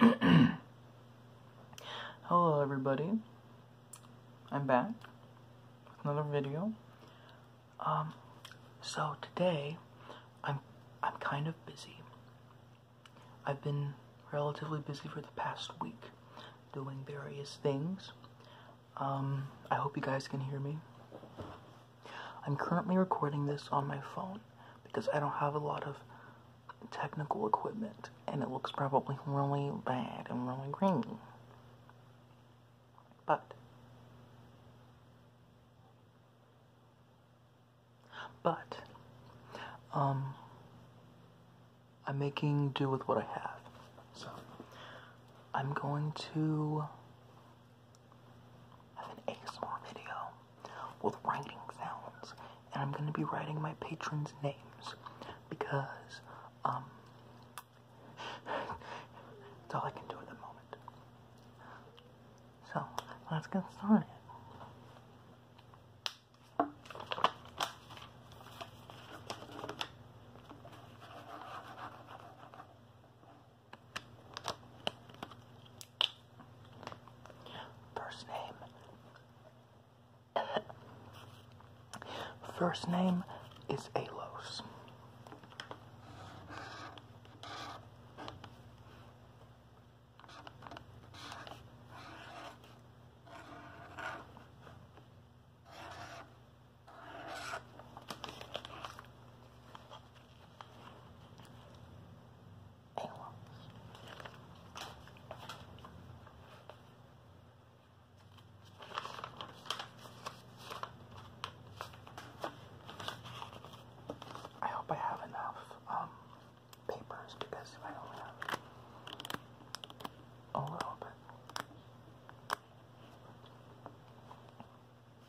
Hello everybody, I'm back with another video. Um, so today I'm I'm kind of busy. I've been relatively busy for the past week doing various things. Um, I hope you guys can hear me. I'm currently recording this on my phone because I don't have a lot of technical equipment and it looks probably really bad and really green. But but um I'm making do with what I have. So I'm going to as an ASMR video with writing sounds, and I'm gonna be writing my patrons' names because um, it's all I can do at the moment. So let's get started. First name. First name is Alos. I love hope I have enough um, papers because I only have a little bit.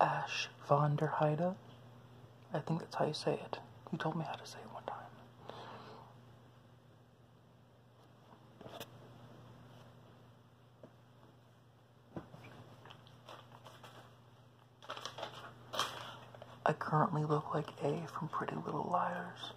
Ash von der Heide. I think that's how you say it. You told me how to say it one time. I currently look like A from Pretty Little Liars.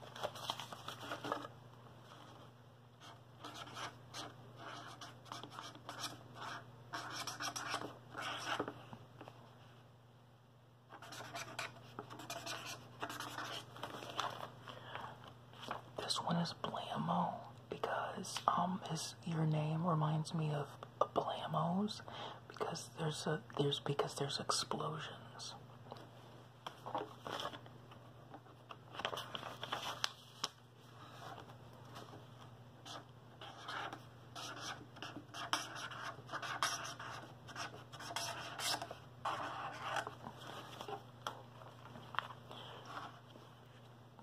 This one is Blammo because um his your name reminds me of blamos because there's a there's because there's explosions.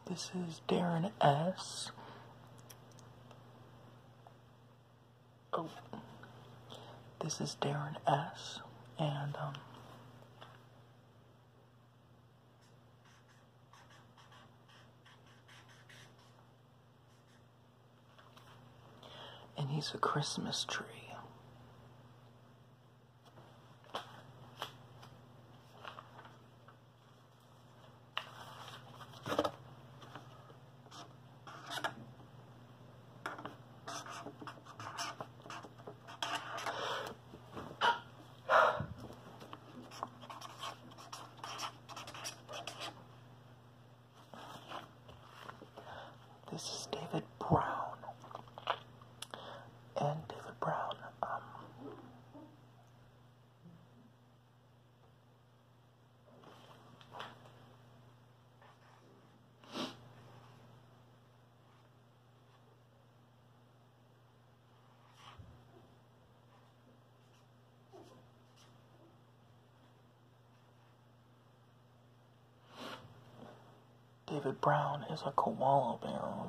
This is Darren S. Oh, this is Darren S. And, um, and he's a Christmas tree. This is David Brown. And David Brown, um, David Brown is a koala bear.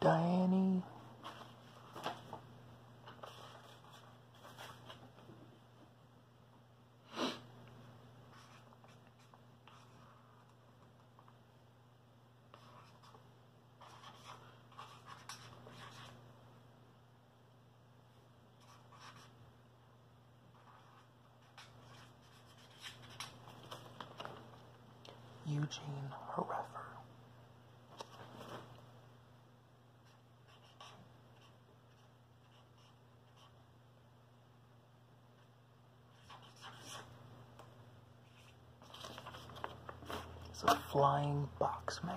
Diane. Eugene Horefer. It's a flying box man.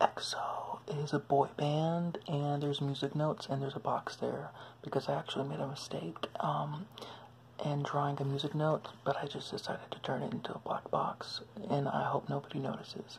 EXO is a boy band, and there's music notes, and there's a box there because I actually made a mistake um, in drawing a music note, but I just decided to turn it into a black box, and I hope nobody notices.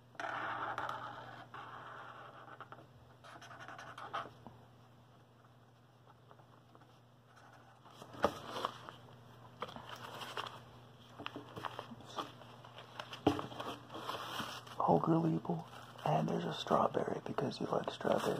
Holger Liebel, and there's a strawberry because you like strawberries.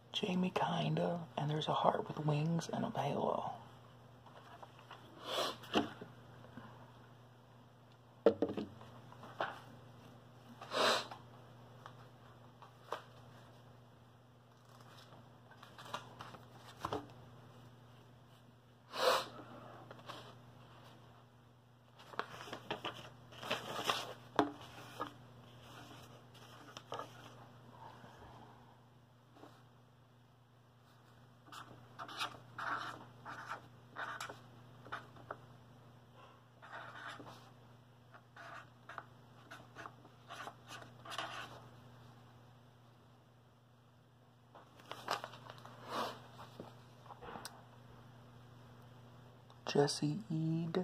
Jamie, kind of, and there's a heart with wings and a halo. Jesse Eid.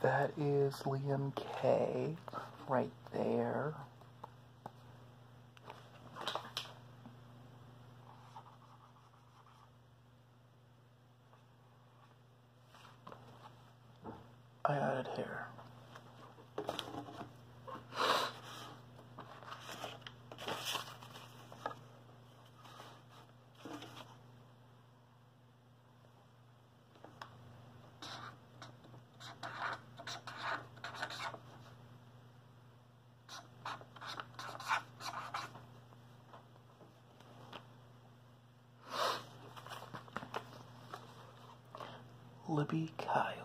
That is Liam K right there. I added it here. Libby Kyle.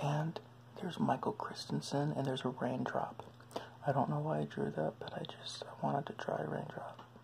And there's Michael Christensen, and there's a raindrop. I don't know why I drew that, but I just I wanted to try a raindrop.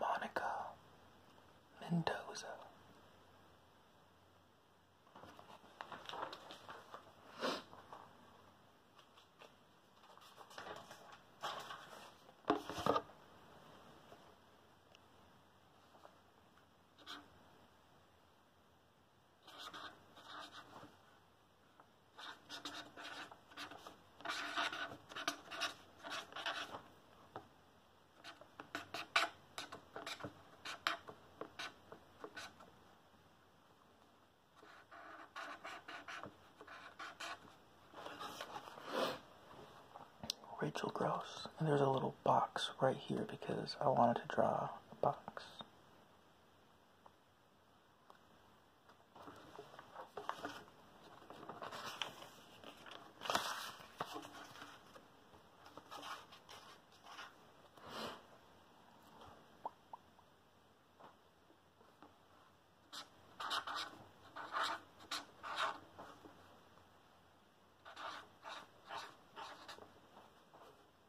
Monica Mendoza. Rachel Gross, and there's a little box right here because I wanted to draw a box.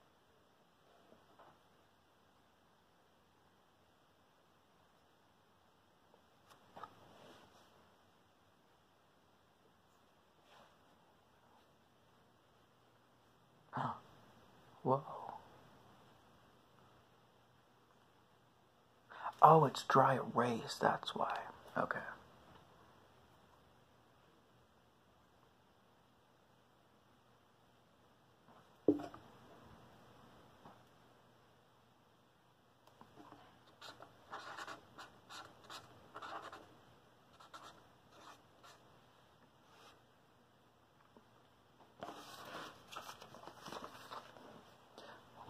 Oh, Oh, it's dry erase, that's why. Okay.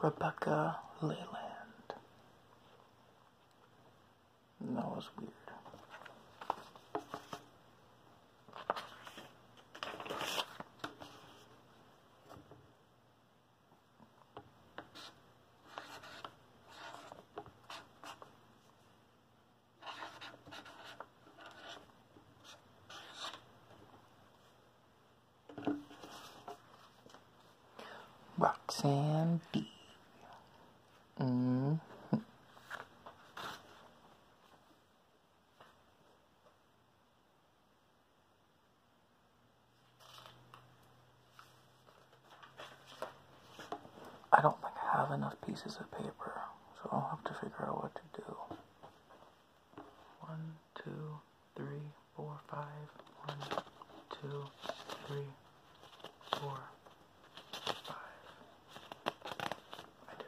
Rebecca Leyland that was weird. Roxanne Mm-hmm. I don't think I have enough pieces of paper, so I'll have to figure out what to do. One, two, three, four, five. One, two, three four, five. I do.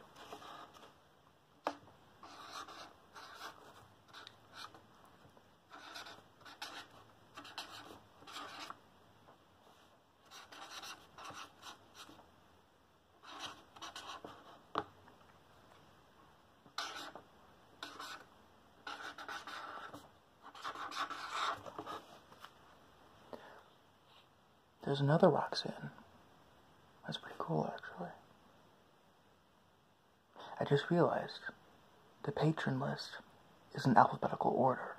There's another Roxanne. That's pretty cool, actually. I just realized the patron list is in alphabetical order.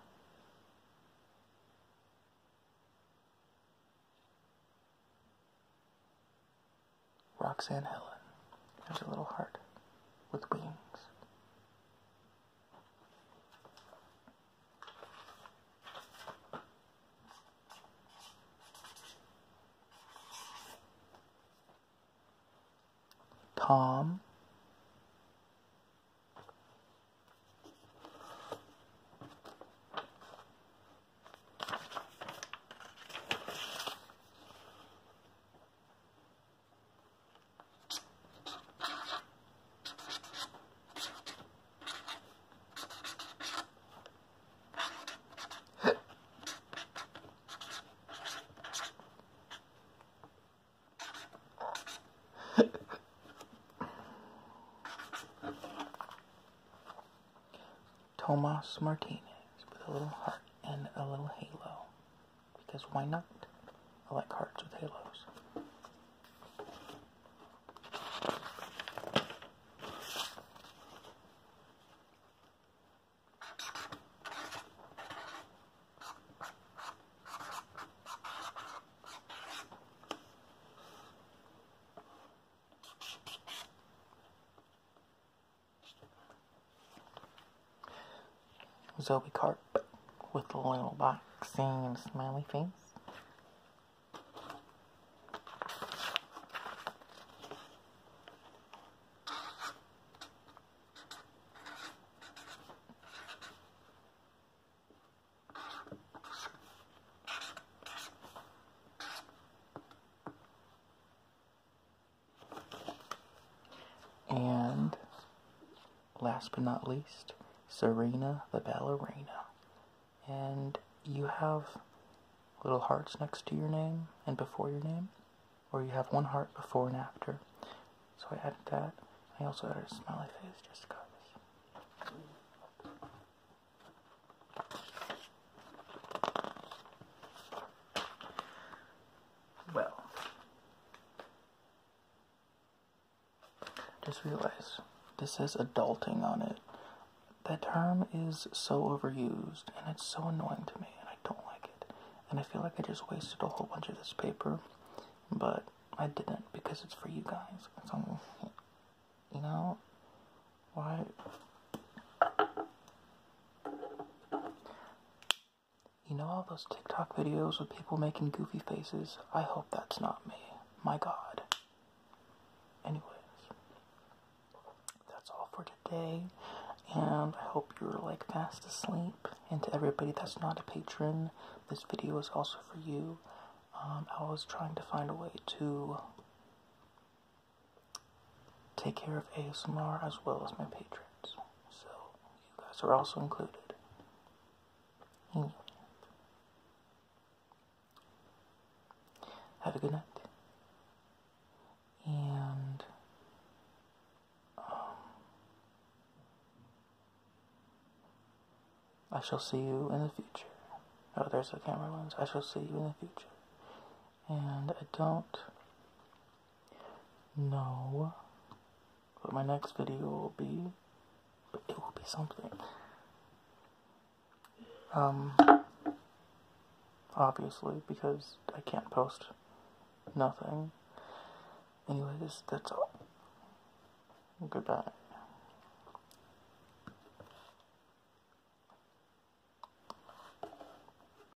Roxanne Helen. There's a little heart with wings. Tom. Tomas Martinez with a little heart and a little halo. Because why not? I like hearts with halos. Zoe cart with the little box and smiley face. And last but not least, Serena the ballerina. And you have little hearts next to your name and before your name, or you have one heart before and after. So I added that. I also added a smiley face just because well. Just realize this says adulting on it. That term is so overused and it's so annoying to me and I don't like it. And I feel like I just wasted a whole bunch of this paper, but I didn't because it's for you guys. It's on, you know, why? You know all those TikTok videos with people making goofy faces? I hope that's not me. My god. Anyways, that's all for today. And I hope you're like fast asleep. And to everybody that's not a patron, this video is also for you. Um, I was trying to find a way to take care of ASMR as well as my patrons. So you guys are also included. Have a good night. And um, I shall see you in the future. Oh, there's the camera lens. I shall see you in the future. And I don't no. But my next video will be. But it will be something. Um. Obviously, because I can't post nothing. Anyways, that's all. Goodbye.